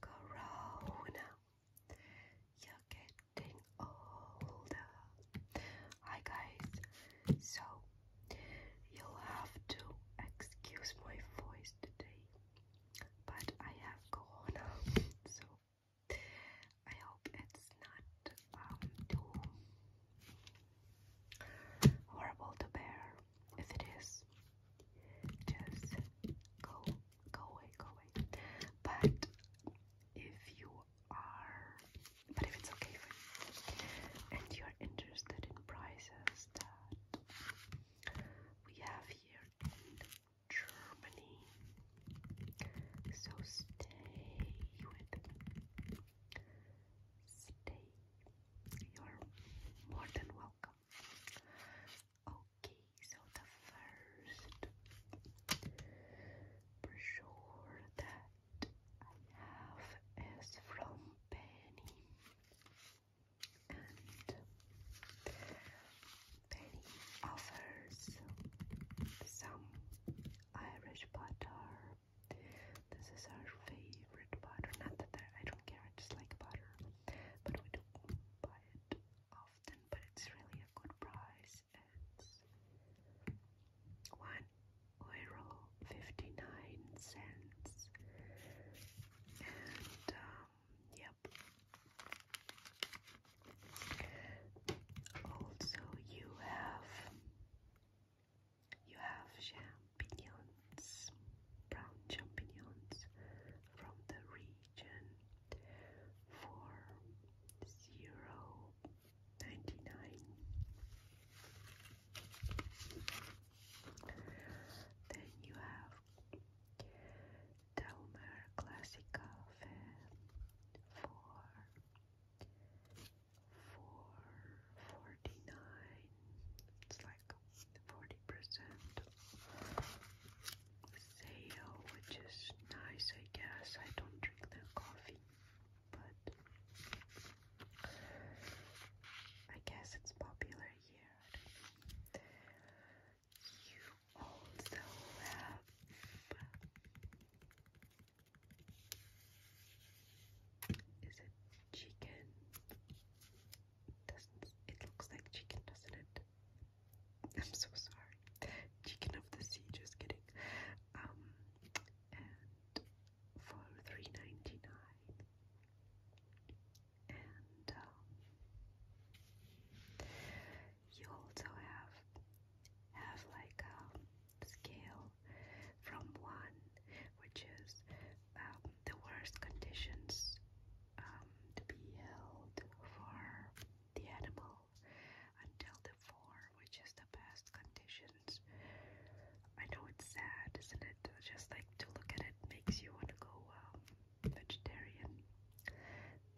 Corona, you're getting older. Hi, guys. So, you'll have to excuse my voice today, but I have Corona, so I hope it's not um, too horrible to bear. If it is, just go go away go away but if you are but if it's okay for you and you're interested in prices that we have here in Germany so stay with stay you're more than welcome Okay, so the first for that I have is from Penny. And Penny offers some Irish butter this is our favorite butter. Not that I don't care, I just like butter, but we do buy it often. But it's really a good price. It's one euro fifty nine cents, and um, yep. Also, you have you have champignons, brown champignons from the region for zero ninety nine. Then you have Daumer Classica for 49 it's like 40% sale which is nice I guess I don't drink their coffee but I guess it's popular here you also have is it chicken? Doesn't it looks like chicken, doesn't it? I'm so sorry. Chicken of the sea, just kidding. Um and for three ninety nine. And um, you also have have like um scale from one, which is um, the worst conditions um, to be held for the animal, until the four, which is the best conditions. I know it's sad, isn't it? Just like to look at it makes you want to go um, vegetarian,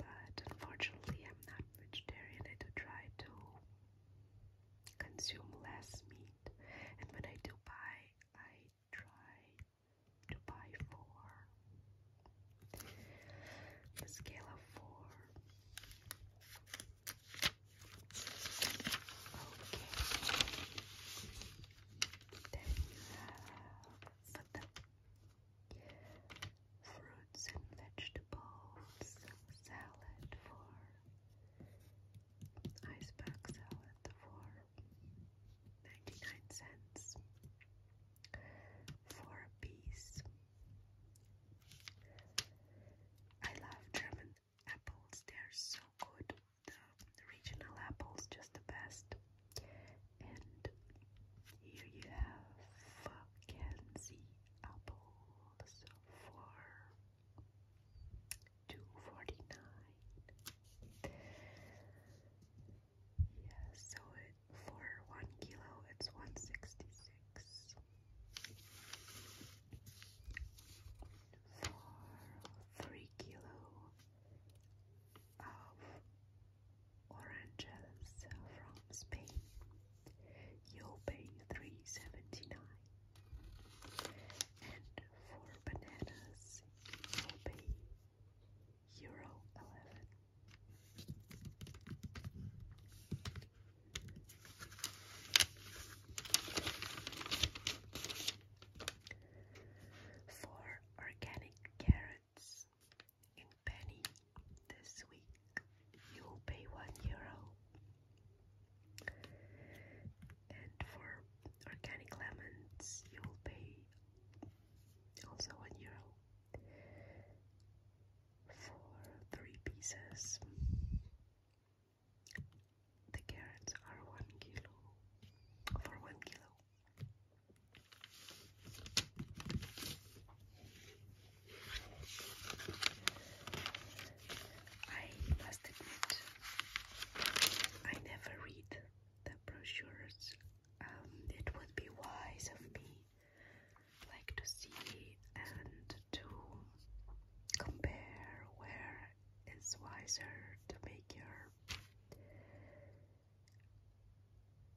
but unfortunately, I'm not vegetarian. I try to consume less meat. And when I do buy, I try to buy four. The scale of four. Okay. Then you have the fruits and vegetables salad for ice pack salad for 99 cents for a piece. I love German apples, they're so good. The regional apples, just the best. And here you have Kenzie apples for two forty nine. Yeah, so for one kilo it's one sixty six. For three kilo of oranges from Spain, you'll pay three seventy nine. And for bananas, it will be Euro 11. For organic carrots in penny this week, you'll pay one euro. And for organic lemons, you'll pay also one euro for three pieces. The carrots are one kilo for one kilo. I must admit, I never read the brochures. Um, it would be wise of me, like to see and to compare where it's wiser to make your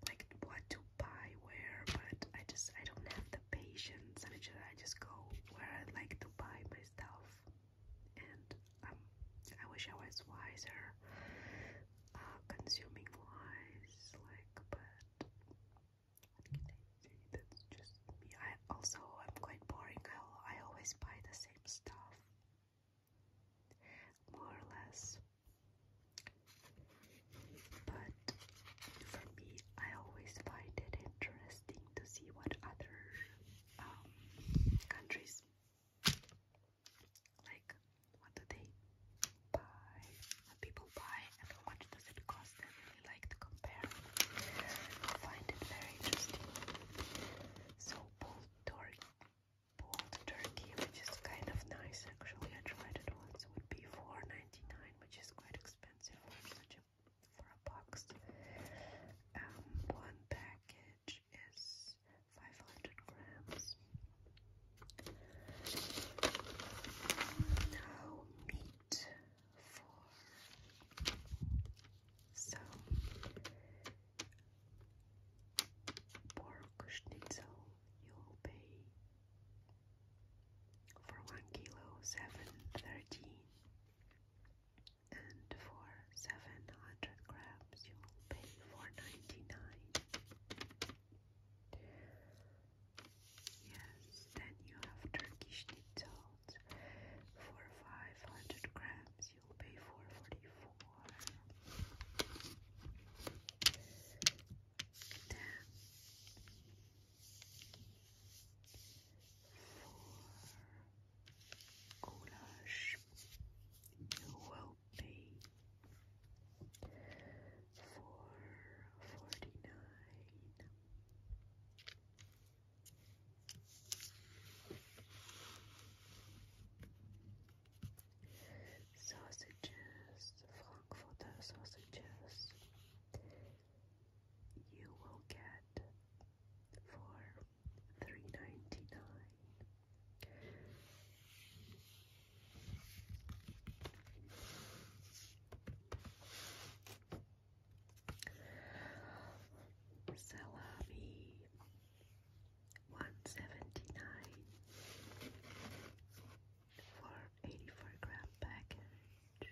like what to buy where, but I just I don't have patience and I just go where I like to buy myself, and um, I wish I was wiser uh, consuming wise like but that's just me I also I'm quite boring I always buy the same stuff more or less but for me, I always find it interesting to see what other um, countries like. What do they buy? What people buy, and how much does it cost? I really like to compare. I find it very interesting. So pulled turkey, pulled turkey, which is kind of nice actually. I tried it once. It would be four ninety nine which is quite expensive for such a for a box. Um, one package is 500 grams. Now meat for some pork schnitzel. You'll pay for one kilo seven thirteen, and for seven hundred grams you will pay four ninety nine. Yes, then you have Turkish nitzels. For five hundred grams, you'll pay four forty four ten, four goulash. You will be four forty nine. Sausages, five for the sausages. You will get for three ninety nine. Salami one seventy nine for 84 gram package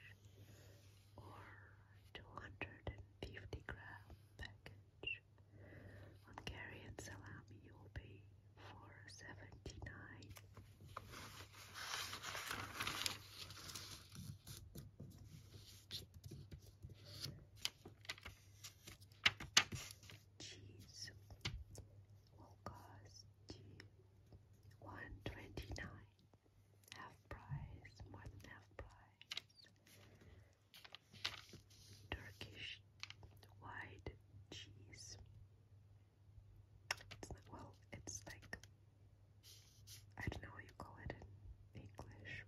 or 250 gram package. On curry and salami you will pay for 79 Cheese August 129 half price, more than half price. Turkish white cheese. It's well, it's like I don't know what you call it in English,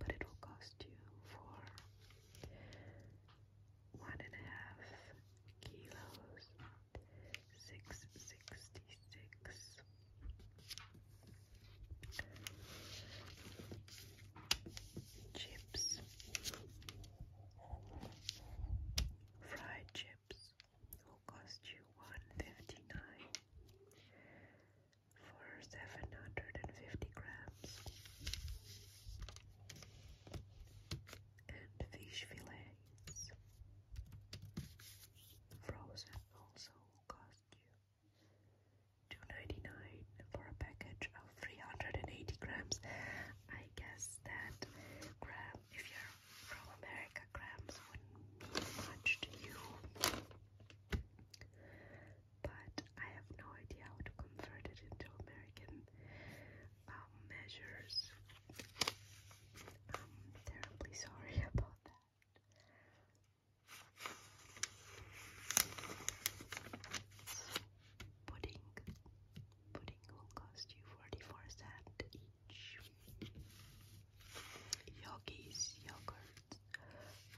but it will cost you for one and a half kilos, six sixty six. Chips, fried chips will cost you one fifty nine for seven hundred and fifty grams and fish fillets. Frozen also cost you $2.99 for a package of 380 grams. I guess that gram, if you're from America, grams wouldn't mean much to you but I have no idea how to convert it into American um, measures. I'm terribly sorry about that. Pudding. Pudding will cost you 44 cents each. Yogis, yogurt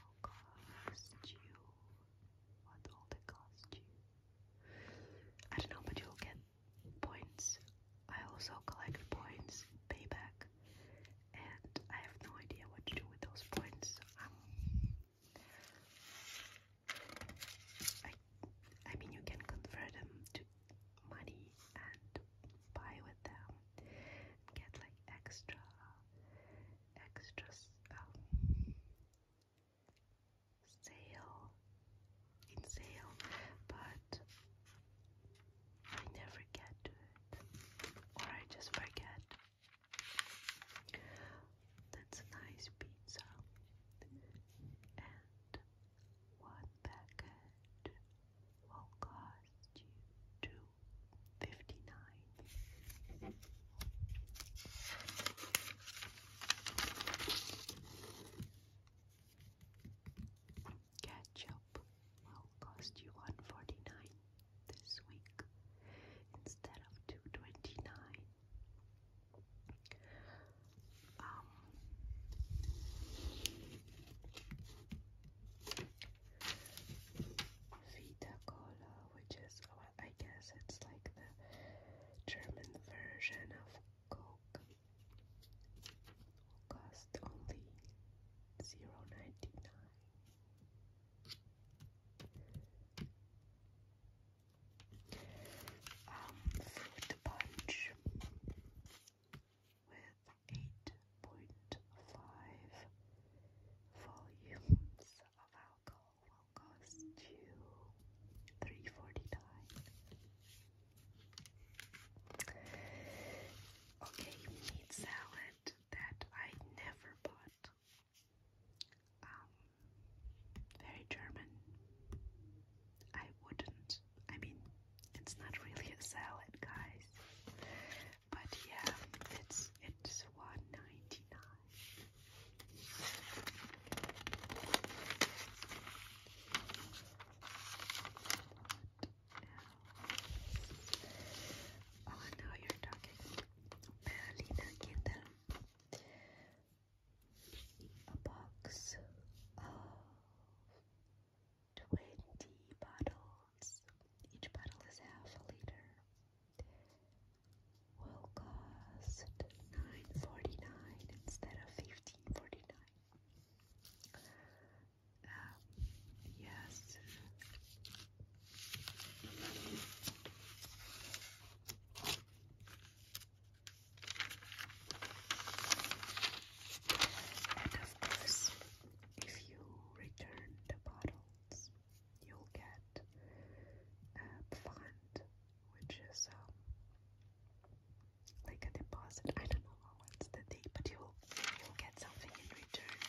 will cost you what will it cost you? I don't know, but you'll get points. I also collect points, payback, and I have no idea what to do with those points. Um, I, I mean, you can convert them to money and buy with them, get like extra extra sale in sale, but I never get to it, or I just forget. That's a nice pizza and one package will cost you two fifty nine. Ketchup will cost you one forty nine this week instead of two twenty nine. Um, Vita Cola, which is, well, I guess it's like the German version of Coke, will cost only zero ninety nine. Um, fruit punch with eight point five volumes of alcohol will cost you three forty nine. Okay, meat salad that I never bought. Um, very German. I wouldn't. I mean, it's not really a salad, guys. But yeah, it's it's one ninety nine. Oh, now you're talking. Berliner Kinder. A box of Twenty bottles. Each bottle is half a liter. Will cost nine forty nine instead of fifteen forty nine. Um, uh, yes. And of course, if you return the bottles, you'll get a fund, which is um, like a deposit. I don't know what's the thing, but you'll you'll get something in return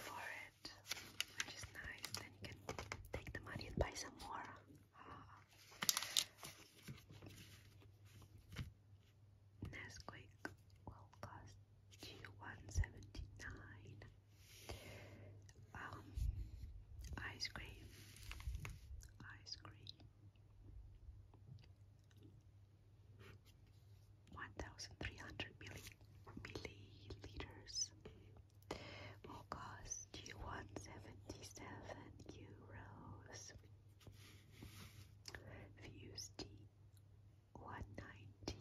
for it, which is nice. Then you can take the money and buy some more. Ah. Nesquik will cost you 179 um ice cream ice cream 1300 milliliters will cost you 177 euros fused tea 119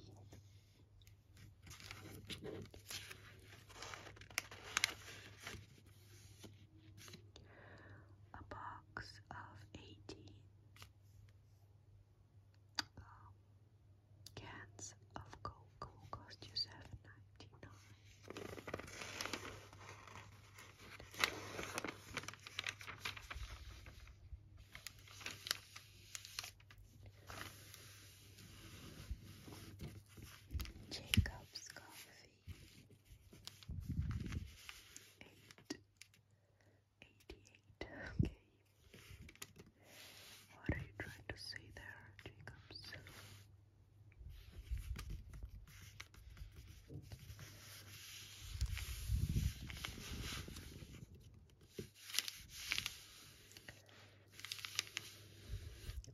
a box of 80 um, cans of Coke will cost you 7.99 Jacob's Coffee, eight eighty-eight. Okay, what are you trying to say there, Jacob's?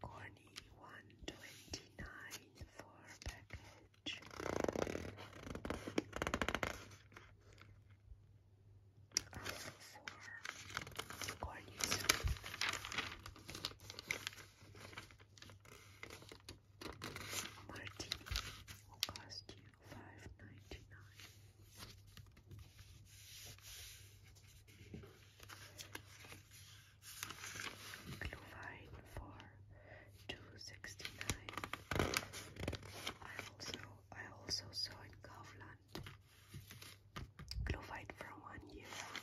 Corny one twenty nine for package. Also for corny martini will cost you five ninety nine. Blue wine for two sixty nine. I also I also saw in Kaufland glue for one euro.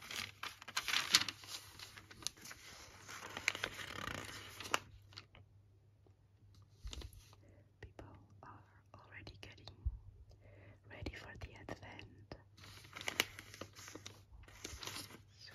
People are already getting ready for the advent. So.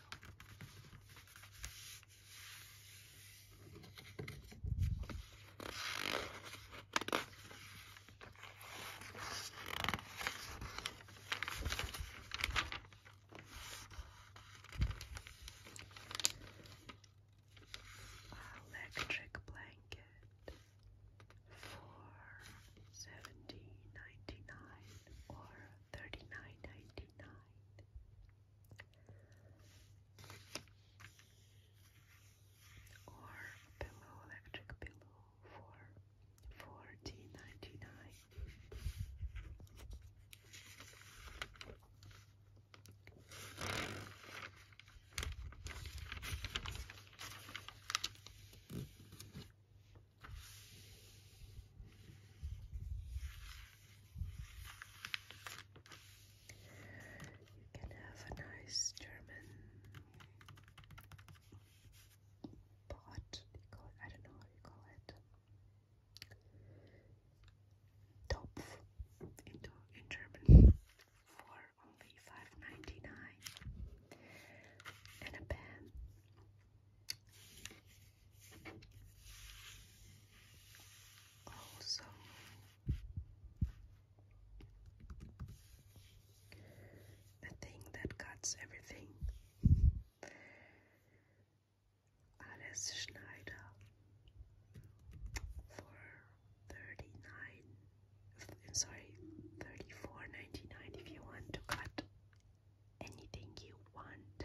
Electric blanket for seventeen ninety nine or thirty nine ninety nine. Or pillow, electric pillow for Fourteen ninety nine. You can have a nice German pot, you call it, I don't know what you call it. Topf in, German for only 5 and a pen. Also, the thing that cuts everything Alice Schneider for 39 sorry 34.99 if you want to cut anything you want